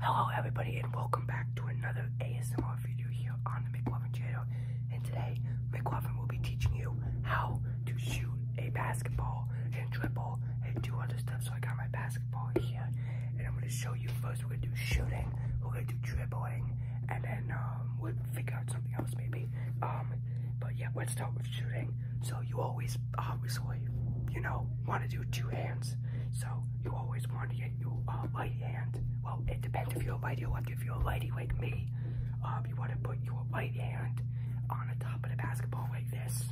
Hello everybody and welcome back to another ASMR video here on the McLaughlin channel and today McLaughlin will be teaching you how to shoot a basketball and dribble and do other stuff. So I got my basketball here and I'm going to show you first we're going to do shooting, we're going to do dribbling and then um, we'll figure out something else maybe. Um, but yeah we'll start with shooting. So you always uh, obviously, you know, want to do two hands. So you always want to get your uh, right hand. Well, it depends if you're a righty or lefty. If you're a righty like me, um, you want to put your right hand on the top of the basketball like this.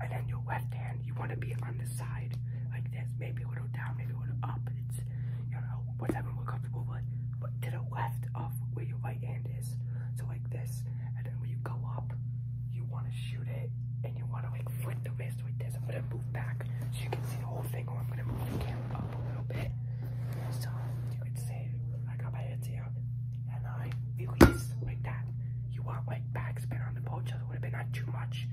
And then your left hand, you want to be on the side like this. Maybe a little down, maybe a little up. It's, you know, whatever we're comfortable with. But to the left of where your right hand is. So this, and then when you go up, you want to shoot it, and you want to like flip the wrist like this. I'm gonna move back so you can see the whole thing, or I'm gonna move the camera up a little bit so you can see I got my hands here, and I release like that. You want like backspin on the ball, just would have been not too much,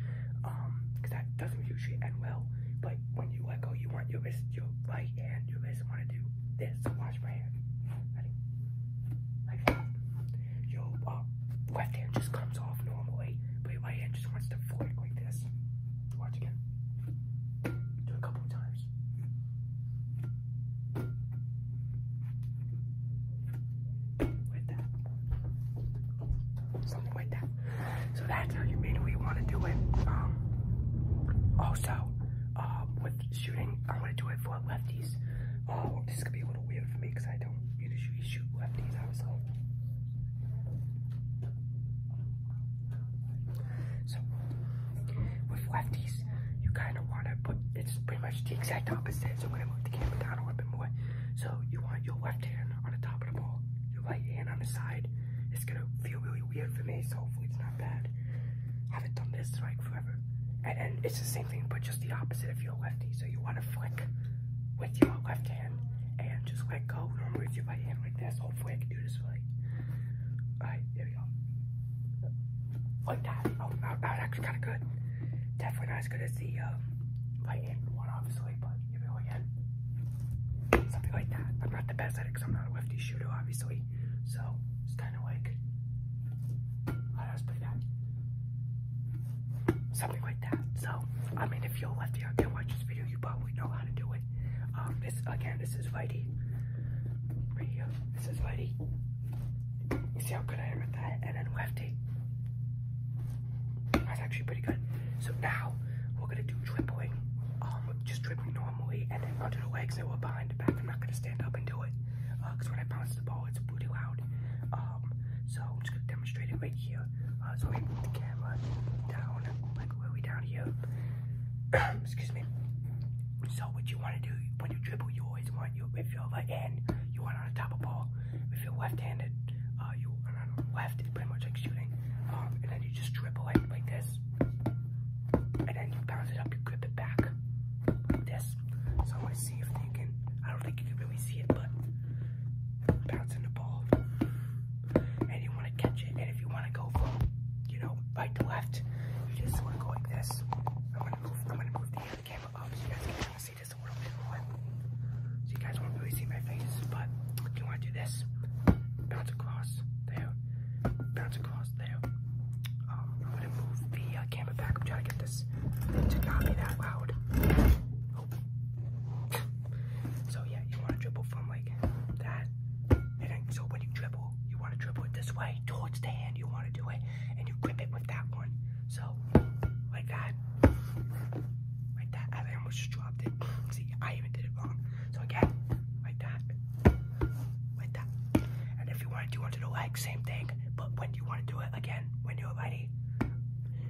um, because that doesn't usually end well. But when you let go, you want your wrist, your right hand, your wrist want to do this. So watch my hand. Ready? yo, left uh, hand just comes off normally, but your hand just wants to flick like this. Watch again. Do a couple of times. Something like that. So that's how you mean we want to do it. Um, also, uh, with shooting, I want to do it for lefties. Oh, this could be a little weird for me because I don't usually shoot lefties, obviously. So, with lefties, you kind of want to put, it's pretty much the exact opposite. So, when i move the camera down a little bit more. So, you want your left hand on the top of the ball, your right hand on the side. It's going to feel really weird for me, so hopefully it's not bad haven't done this like forever. And, and it's the same thing, but just the opposite if you're lefty. So you want to flick with your left hand and just let go. Normally with your right hand like this. Hopefully I can do this right. Alright, there we go. Like that. Oh, that, that actually kind of good. Definitely not as good as the um, right hand one, obviously, but here we go again. Something like that. I'm not the best at it because I'm not a lefty shooter, obviously. So, just I that? Something like that. So, I mean, if you're lefty out there watch this video, you probably know how to do it. Um, this again, this is righty. Right this is righty. You see how good I am at that? And then lefty. That's actually pretty good. So now we're gonna do dribbling. Um, just dribbling normally, and then under the legs and we're behind the back. I'm not gonna stop stand up and do it. Because uh, when I bounce the ball, it's pretty loud. Um, so I'm just going to demonstrate it right here. Uh, so let move the camera down, like really down here. Excuse me. So what you want to do when you dribble, you always want your if your right hand, you want on the top of the ball. If you're left-handed, uh, you you on the left, it's pretty much like shooting. Um, and then you just dribble it like this. And then you bounce it up, you grip it back. Like this. So I want to see if you can, I don't think you can really see it, but bouncing the ball. And you want to catch it. And if you want to go from, you know, right to left, you just want to go like this. I'm going to move, I'm going to move the, uh, the camera up so you guys can kind of see this a little bit more. So you guys won't really see my face, but you want to do this bounce across there, bounce across there. Um, I'm gonna move the uh, camera back. I'm trying to get this to not be that loud. Oh. so yeah, you want to dribble from like that, and then, so when you dribble, you want to dribble it this way towards the hand. You want to do it, and you grip it with that one. So like that, like that. I almost just dropped it. See, I even did it wrong. So again, like that, like that. And if you want to do under the leg, same thing. But when you want to do it again, when you're ready,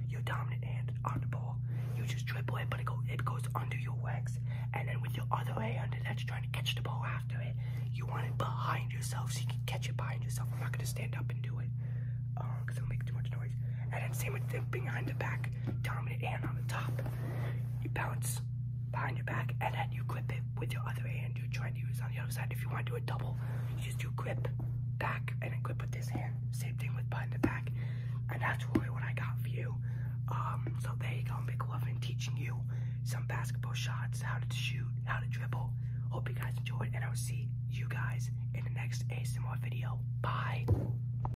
your dominant hand on the ball, you just dribble it, but it, go, it goes under your legs. And then with your other hand that's trying to catch the ball after it, you want it behind yourself so you can catch it behind yourself. I'm not going to stand up and do it because oh, um, it'll make too much noise. And then same with the behind the back back, dominant hand on the top. You bounce behind your back, and then you grip it with your other hand you're trying to use on the other side. If you want to do a double, you just do grip back and then grip with this hand. Same thing with behind the back. And that's really what I got for you. Um, so there you go, I've been teaching you some basketball shots, how to shoot, how to dribble. Hope you guys enjoyed, and I'll see you guys in the next ASMR video. Bye.